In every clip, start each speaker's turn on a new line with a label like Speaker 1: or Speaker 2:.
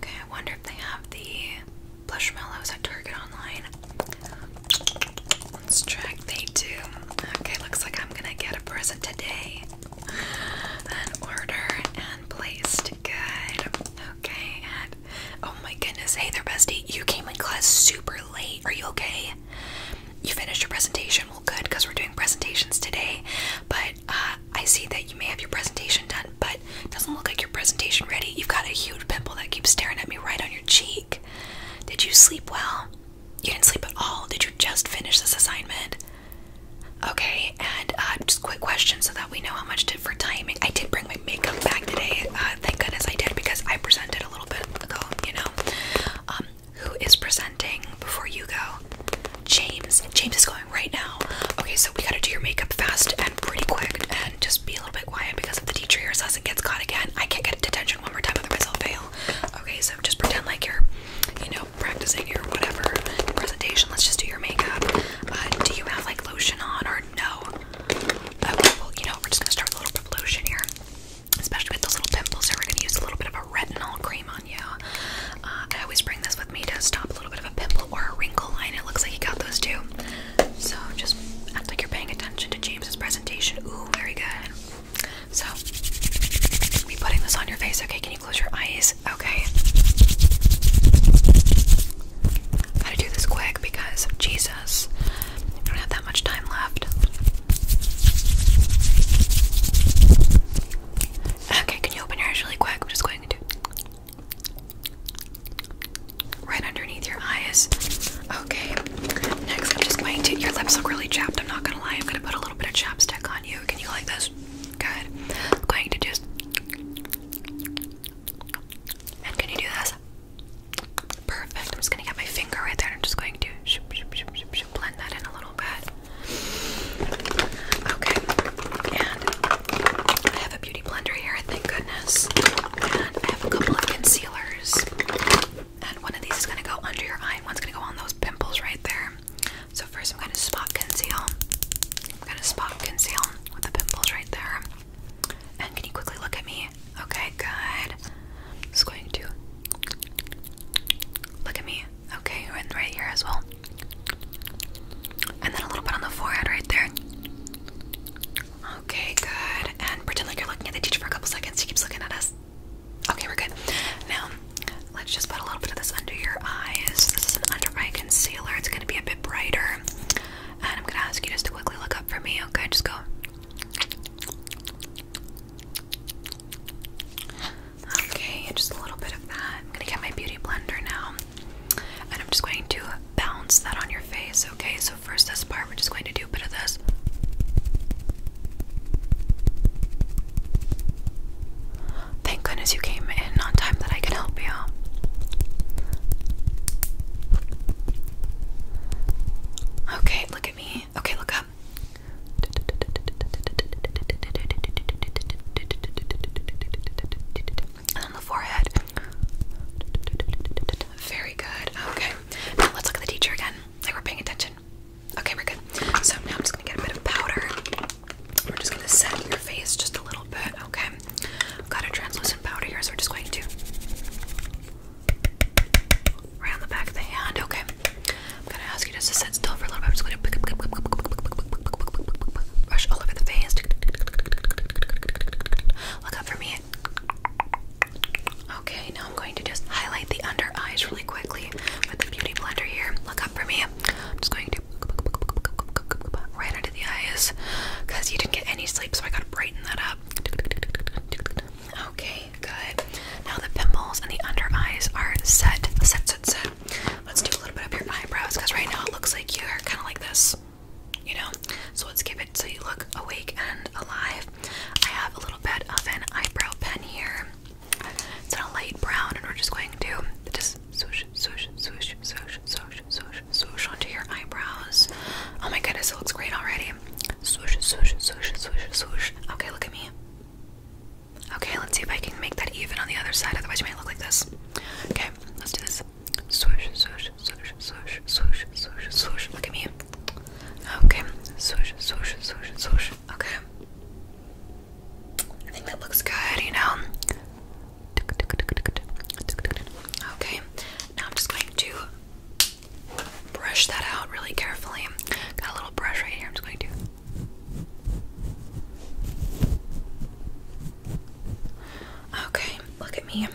Speaker 1: Okay, I wonder if they have the Plushmallows at Target online. Let's check. They do. Okay, looks like I'm gonna get a present today. An order and placed. Good. Okay, oh my goodness. Hey there, bestie. You came in class super late. Are you okay? You finished your presentation? Well, good, because we're doing presentations today. But uh, I see that you may have your presentation done, but it doesn't look like your presentation ready. You've got a huge pimple that keeps staring at me right on your cheek. Did you sleep well? You didn't sleep at all. Did you just finish this assignment? Okay, and uh, just quick question so that we know how much did for timing. I did bring my makeup back today. Uh, thank goodness I did because I presented a little bit ago, you know. Um, who is presenting before you go? James. James is going right now. Okay, so we gotta do your makeup fast and pretty quick and just be a little bit quiet because if the teacher hears us and gets caught again, I can't get detention one more time, otherwise I'll fail. Okay, so just pretend like you're, you know, practicing your whatever presentation. Let's just do your makeup. Uh, do you have like lotion on or no? Okay, uh, well, you know, we're just gonna start a little bit of lotion here. Especially with those little pimples here, we're gonna use a little bit of a retinol cream on uh, I always bring this with me to stop a little bit of a pimple or a wrinkle line. It looks like you got those too. So just act like you're paying attention to James's presentation. Ooh, very good. So, I'll be putting this on your face. Okay, can you close your eyes? Okay. gotta do this quick because Jesus, I don't have that much time left. Okay, can you open your eyes really quick? I'm just going to right underneath your eyes. Okay. Next, I'm just going to. Your lips look really chapped. I'm not gonna lie. I'm gonna put a little bit of chapstick on you. Can you like this? Good. I'm going to just. And can you do this? Perfect. I'm just gonna get my finger right there. I'm just going to blend that in a little bit. Okay, and I have a beauty blender here, thank goodness. And I have a couple of concealers. And one of these is gonna go under your eye, one's gonna go on those pimples right there. So first I'm gonna spot conceal. I'm gonna spot conceal with the pimples right there. And can you quickly look at me? Okay, good. I'm just going to Look at me. Okay, right here as well. And then a little bit on the forehead right there. Okay, good. And pretend like you're looking at the teacher for a couple seconds. He keeps looking at us. Okay, we're good. Now, let's just put a little bit of this under your eyes. This is an under eye concealer. It's going to be a bit brighter. And I'm going to ask you just to quickly look up for me. Okay, just go. Okay, just a little bit of that. I'm gonna get my beauty blender now. And I'm just going to bounce that on your face, okay? So, first, this part, we're just going to do a bit of this. Thank goodness you came in on time that I can help you. Okay, look at me. Okay, look up. And on the forehead. Very good. Okay. Now let's look at the teacher again. Like we're paying attention. Okay, we're good. So now I'm just gonna get a bit of powder. We're just gonna set your face just a little bit. Okay. I've got a translucent powder here, so we're just going to Right the back of the hand. Okay. I'm gonna ask you just to sit still for a little bit. I'm just gonna brush all over the face. Look up for me. Okay, now I'm going to just highlight the under eyes really quickly with the beauty blender here. Look up for me. I'm just going to right under the eyes because you didn't get any sleep, so I gotta brighten that up. Okay, good. Now the pimples and the under eyes are set, set, set, set. Let's do a little bit of your eyebrows because right now it looks like you're kind of like this, you know? So let's give it so you look awake and alive. I have a little bit of an eyebrow pen here. It's in a light brown, and we're just going to just swoosh, swoosh, swoosh, swoosh, swoosh, swoosh, swoosh onto your eyebrows. Oh my goodness, it looks great already. Okay. Swoosh, swoosh, swoosh, swoosh, swoosh. Okay, look at me. Okay, let's see if I can make that even on the other side. Otherwise, you might look like this. Okay, let's do this. Swoosh, swoosh, swoosh, swoosh, swoosh, swoosh, swoosh. Look at me. Okay. Swoosh, swoosh, swoosh, swoosh. Okay. I think that looks good, you know? Okay. Now I'm just going to brush that out really carefully. Got a little brush right here. I'm just going to Okay, look at me.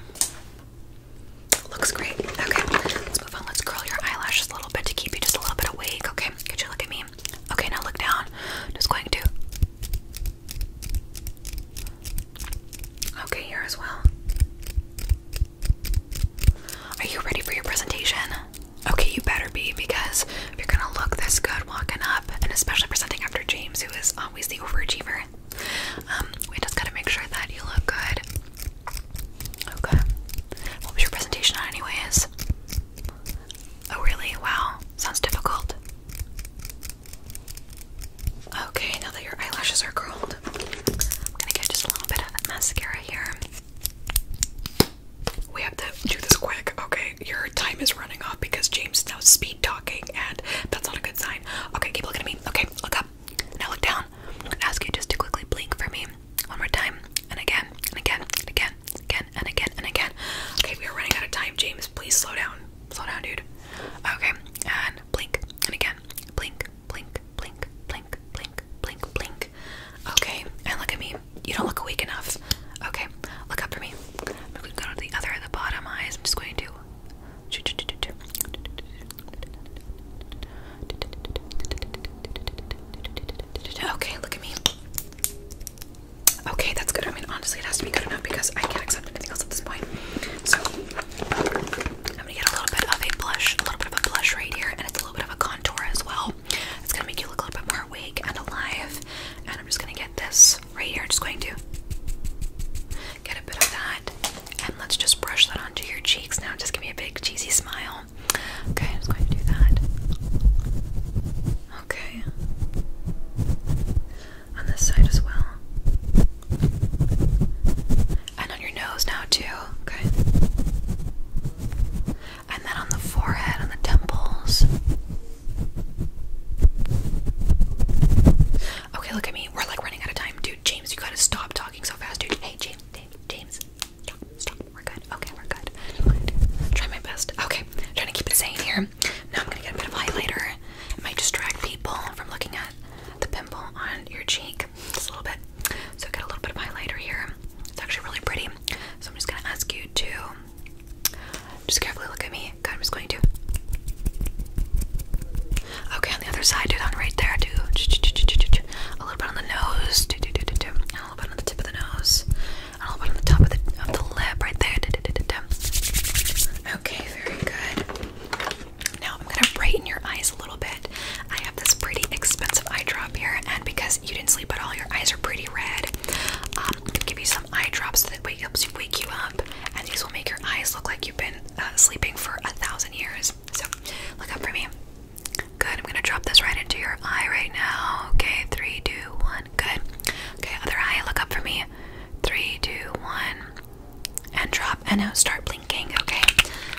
Speaker 1: Looks great. Okay, let's move on. Let's curl your eyelashes a little bit to keep you just a little bit awake. Okay, get your look at me? Okay, now look down. Just going to Okay, here as well. Are you ready for your presentation? Okay, you better be because you're gonna look this good walking up, and especially presenting after James, who is always the overachiever, um, we just gotta make sure that you look good. Okay. What was your presentation on, anyways? Oh, really? Wow. Sounds difficult. Okay, now that your eyelashes are curled, I'm gonna get just a little bit of mascara here. We have to do this quick, okay? Your time is running off because James is now speed talking, and that's not a good sign. Okay, keep looking at me. Okay, look up. Now look down. I'm gonna ask you just to quickly blink for me one more time, and again, and again, and again, again, and again, and again. Okay, we are running out of time, James. Please slow down. Slow down, dude. Okay, and blink, and again, blink, blink, blink, blink, blink, blink, blink. Okay, and look at me. You don't look awake enough. Okay, look up for me. I'm going to go to the other, the bottom eyes. I'm just going to. Okay, look at me. Okay, that's good. I mean, honestly, it has to be good enough because I can't accept anything else at this point. So, I'm gonna get a little bit of a blush, a little bit of a blush right here, and it's a little bit of a contour as well. It's gonna make you look a little bit more awake and alive. And I'm just gonna get this right here. Just going to get a bit of that, and let's just brush that onto your cheeks now. Just give me a big cheesy smile. Okay, I'm just going to do that. Okay on this side as well. And on your nose now, too. Okay. And then on the forehead, on the temples. Okay, look at me. We're like running out of time. Dude, James, you gotta stop talking so fast, dude. Hey, James, James, James. Stop, stop. We're good. Okay, we're good. Try my best. Okay, I'm trying to keep it sane here. Now I'm gonna get a bit of highlighter. It might distract people from looking at that the pimple on your cheek just a little bit. So I got a little bit of highlighter here. It's actually really pretty. So I'm just gonna ask you to just carefully look at me. God, I'm just going to. Okay, on the other side, do it on right there. Do a little bit on the nose. Do do do do do. And a little bit on the tip of the nose. And a little bit on the top of the of the lip right there. Okay, very good. Now I'm gonna brighten your eyes a little bit. I have this pretty expensive eye drop here, and because you didn't sleep at all, your eyes are pretty red. Um, I'm gonna give you some eye drops that wake, helps you wake you up, and these will make your eyes look like you've been uh, sleeping for a thousand years. So look up for me. Good. I'm gonna drop this right into your eye right now. Okay, three, two, one. Good. Okay, other eye. Look up for me. Three, two, one and drop and now start blinking, okay?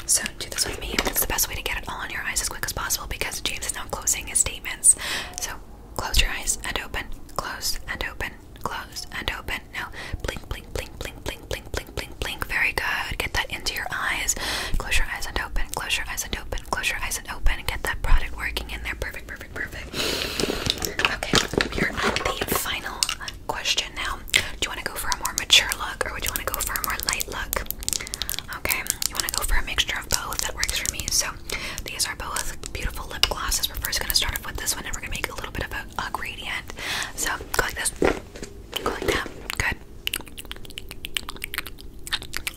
Speaker 1: So do this with me. That's the best way to get it all on your eyes as quick as possible because James is now closing his statements. So close your eyes and open, close and open, close and open. Now blink, blink, blink, blink, blink, blink, blink, blink, blink. Very good. Get that into your eyes. Close your eyes and open, close your eyes and open, close your eyes and open. Get that product working in there. Perfect, perfect perfect, Okay, we are at the final question now. Do you want to go for a more mature look or would you want to go for a more light look? Okay, you want to go for a mixture of both. That works for me. So these are both beautiful lip glosses. We're first going to start off with this one and we're going to make a little bit of a, gradient. So go like this, go like that. Good.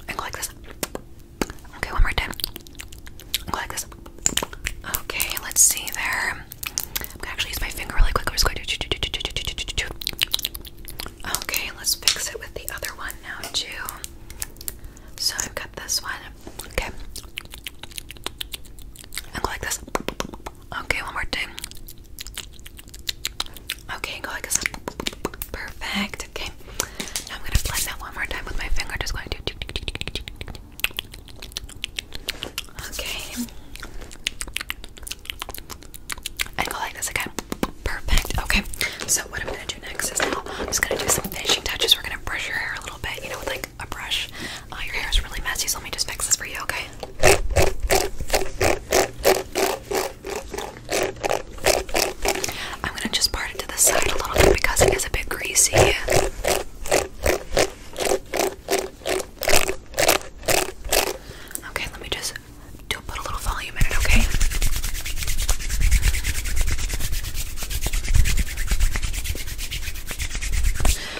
Speaker 1: go like this. Okay, one more time. Go like this. Okay, let's see there. I'm gonna actually use my finger really quick. I'm just going to. Okay, let's fix it with the other one now, too. So I've got this one. Okay. And go like this. Okay, one more time. Okay, go like this. Perfect. Okay. Now I'm gonna blend that one more time with my finger. Just going to. Okay. And go like this again. Perfect. Okay. So what I'm gonna do next is now I'm just gonna do some finishing touches. We're gonna brush your hair a little bit, you know, with like a brush. Uh, your hair is really messy, so let me just fix this for you, okay? I'm gonna just part it the side a little bit because it is a bit greasy. Okay, let me just do put a little volume in it, okay?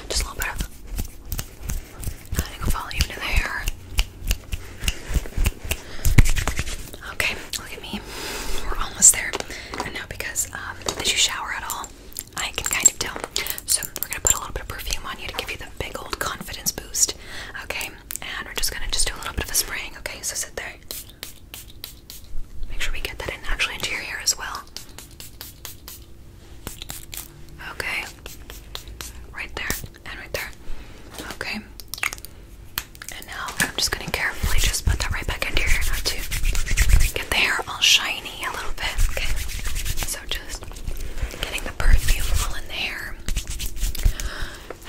Speaker 1: Just a little bit of volume to the hair. Okay, look at me. We're almost there. And now because um, did you shower at all? I can kind of tell. So we're gonna put a little bit of perfume on you to give you the big old confidence boost. Okay, and we're just gonna just do a little bit of a spraying. Okay, so sit there. Make sure we get that in actually into your hair as well. Okay, right there and right there. Okay, and now I'm just gonna carefully just put that right back in here hair now to get the hair all shiny a little bit. Okay. So just getting the perfume all in the hair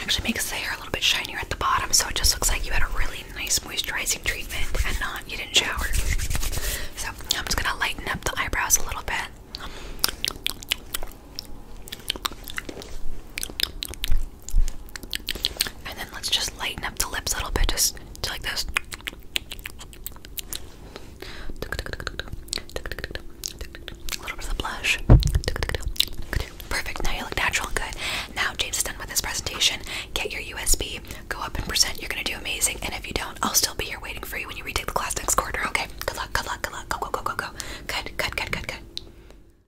Speaker 1: actually makes the hair a little bit shinier at the bottom, so it just looks like you had a really nice moisturizing treatment and not you didn't shower. So I'm just gonna lighten up the eyebrows a little bit. And then let's just lighten up the lips a little bit, just, just like this. A little bit of the blush. Perfect. Now you look natural and good. Now James is done with his presentation. Get your USB. Go up and present. You're gonna do amazing. And if you don't, I'll still be here waiting for you when you retake the class next quarter. Okay. Good luck. Good luck. Good luck. Go go go go go. Good. Good. Good. Good. Good.